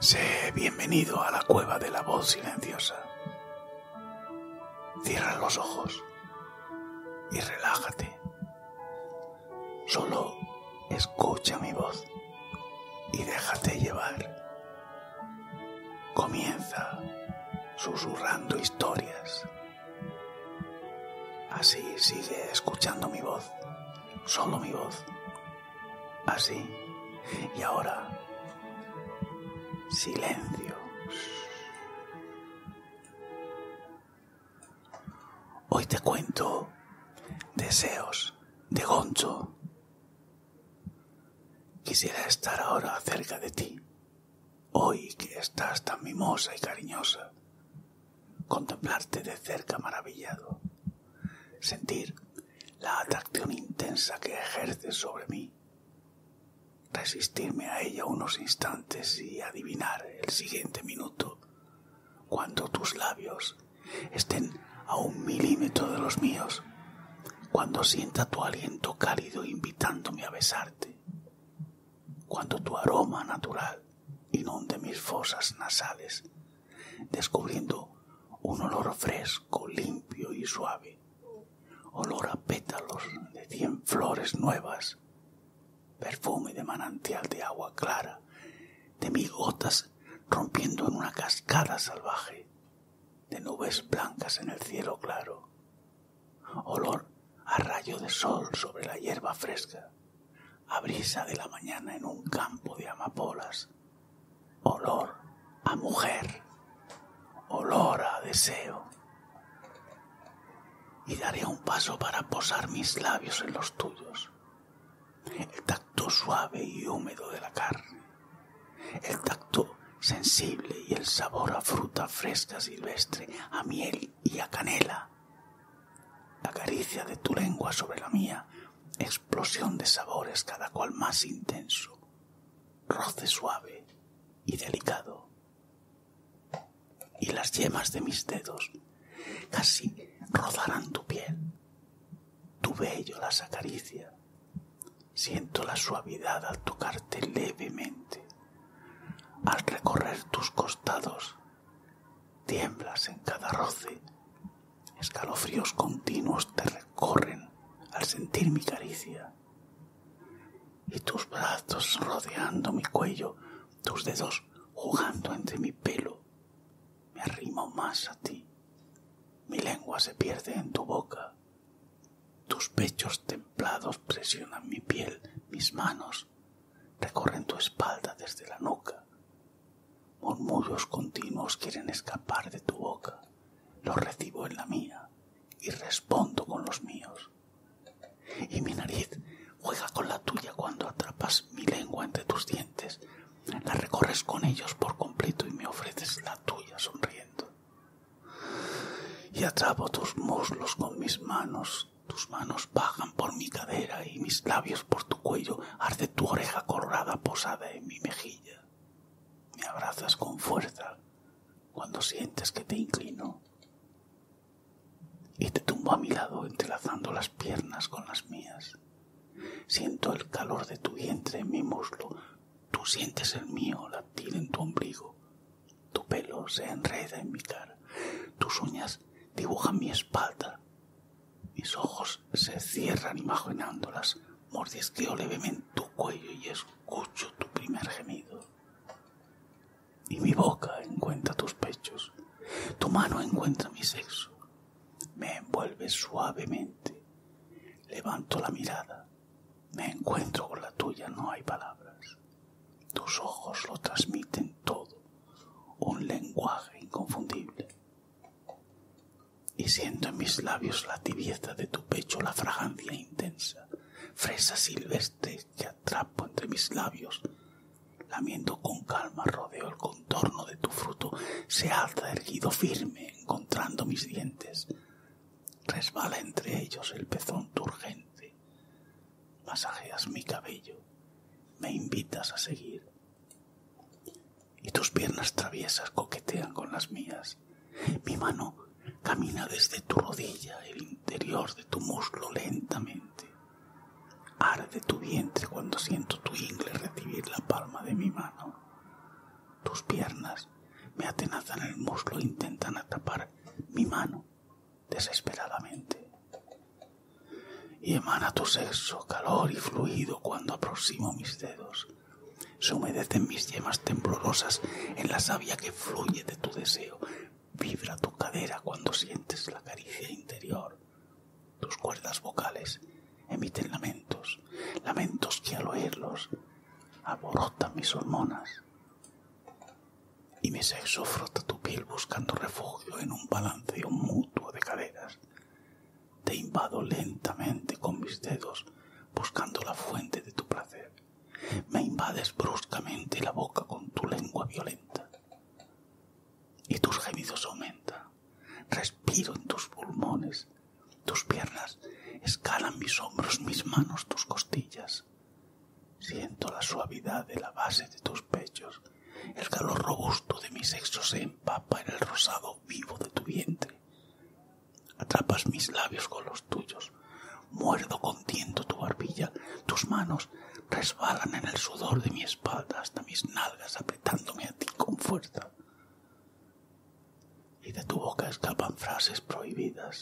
Sé bienvenido a la cueva de la voz silenciosa. Cierra los ojos y relájate. Solo escucha mi voz y déjate llevar. Comienza susurrando historias Así sigue escuchando mi voz, solo mi voz. Así. Y ahora, silencio. Hoy te cuento deseos de Goncho. Quisiera estar ahora cerca de ti Hoy que estás tan mimosa y cariñosa, contemplarte de cerca maravillado, sentir la atracción intensa que ejerces sobre mí, resistirme a ella unos instantes y adivinar el siguiente minuto, cuando tus labios estén a un milímetro de los míos, cuando sienta tu aliento cálido invitándome a besarte, cuando tu aroma natural inunde mis fosas nasales, descubriendo un olor fresco, limpio y suave, olor a pétalos de cien flores nuevas, perfume de manantial de agua clara, de mil gotas rompiendo en una cascada salvaje, de nubes blancas en el cielo claro, olor a rayo de sol sobre la hierba fresca, a brisa de la mañana en un campo de amapolas, olor a mujer, olor a deseo. Y daré un paso para posar mis labios en los tuyos, el tacto suave y húmedo de la carne, el tacto sensible y el sabor a fruta fresca silvestre, a miel y a canela. La caricia de tu lengua sobre la mía, explosión de sabores cada cual más intenso, roce suave y delicado. Y las yemas de mis dedos casi rozarán tu piel. Tu bello las acaricia. Siento la suavidad al tocarte levemente. Al recorrer tus costados, tiemblas en cada roce. Escalofríos continuos te recorren al sentir mi caricia. Y tus brazos rodeando mi cuello, tus dedos jugando entre mi pelo. Me arrimo más a ti. Mi lengua se pierde en tu boca tus pechos templados presionan mi piel, mis manos recorren tu espalda desde la nuca. Murmullos continuos quieren escapar de tu boca. Los recibo en la mía y respondo con los míos. Y mi nariz juega con la tuya cuando atrapas mi lengua entre tus dientes, la recorres con ellos por completo y me ofreces la tuya sonriendo y atrapo tus muslos con mis manos. Tus manos bajan por mi cadera y mis labios por tu cuello. Arde tu oreja colorada posada en mi mejilla. Me abrazas con fuerza cuando sientes que te inclino. Y te tumbo a mi lado entrelazando las piernas con las mías. Siento el calor de tu vientre en mi muslo. Tú sientes el mío latir en tu ombligo. Tu pelo se enreda en mi cara. Tus uñas dibujan mi espalda. Mis ojos se cierran imaginándolas. Mordisqueo levemente tu cuello y escucho tu primer gemido. Y mi boca encuentra tus pechos. Tu mano encuentra mi sexo. Me envuelve suavemente. Levanto la mirada. Me encuentro con la tuya, no hay palabras. Tus ojos lo transmiten todo, un lenguaje inconfundible. Y siento en mis labios la tibieza de tu pecho, la fragancia intensa, fresa silvestre que atrapo entre mis labios. lamiendo con calma, rodeo el contorno de tu fruto, se alza erguido firme, encontrando mis dientes. Resbala entre ellos el pezón turgente. Masajeas mi cabello. Me invitas a seguir. Y tus piernas traviesas coquetean con las mías. Mi mano camina desde tu rodilla, el interior de tu muslo lentamente. Arde tu vientre cuando siento tu ingle recibir la palma de mi mano. Tus piernas me atenazan el muslo e intentan atapar mi mano desesperadamente. Y emana tu sexo, calor y fluido cuando aproximo mis dedos. Se humedecen mis yemas temblorosas en la savia que fluye de tu deseo. Vibra tu cadera cuando sientes la caricia interior. Tus cuerdas vocales emiten lamentos, lamentos que al oírlos aborotan mis hormonas. Y mi sexo frota tu piel buscando refugio en un balanceo mutuo de caderas. Te invado lentamente con mis dedos buscando la fuente de tu placer. Me invades bruscamente la boca con tu lengua violenta. Y tus gemidos aumentan. Respiro en tus pulmones tus piernas escalan mis hombros, mis manos, tus costillas. Siento la suavidad de la base de tus pechos. El calor robusto de mi sexo se empapa en el rosado vivo de tu vientre. Atrapas mis labios con los tuyos. Muerdo tiento tu barbilla. Tus manos resbalan en el sudor de mi espalda hasta mis nalgas apretándome a ti con fuerza y de tu boca escapan frases prohibidas,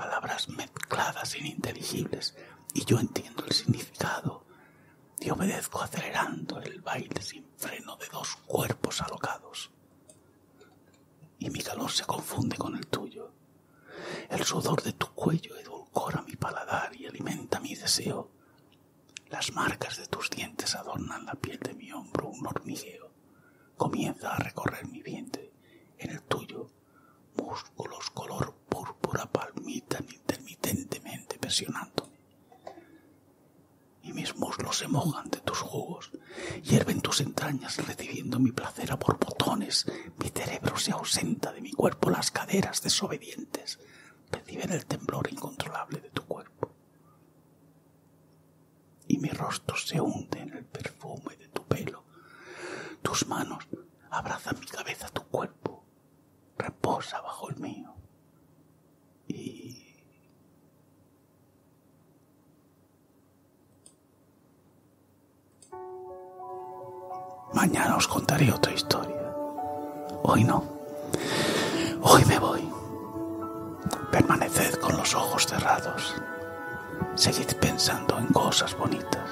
palabras mezcladas e ininteligibles, y yo entiendo el significado y obedezco acelerando el baile sin freno de dos cuerpos alocados. Y mi calor se confunde con el tuyo. El sudor de tu cuello edulcora mi paladar y alimenta mi deseo. Las marcas de tus dientes adornan la piel de mi hombro, un hormigueo. Comienza a recorrer mi vientre, en el tuyo. Músculos color púrpura palmitan intermitentemente presionándome. Y mis muslos se mojan de tus jugos, hierven tus entrañas recibiendo mi placer a botones, Mi cerebro se ausenta de mi cuerpo, las caderas desobedientes reciben el temblor incontrolable de tu cuerpo. Y mi rostro se hunde en el perfume de tu pelo. Tus manos abrazan mi cabeza, tu cuerpo reposa bajo el mío. Y... Mañana os contaré otra historia. Hoy no. Hoy me voy. Permaneced con los ojos cerrados. Seguid pensando en cosas bonitas.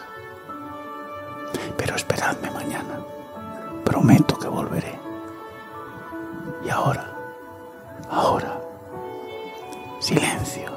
Pero esperadme mañana. Prometo que volveré. Y ahora, ahora, silencio.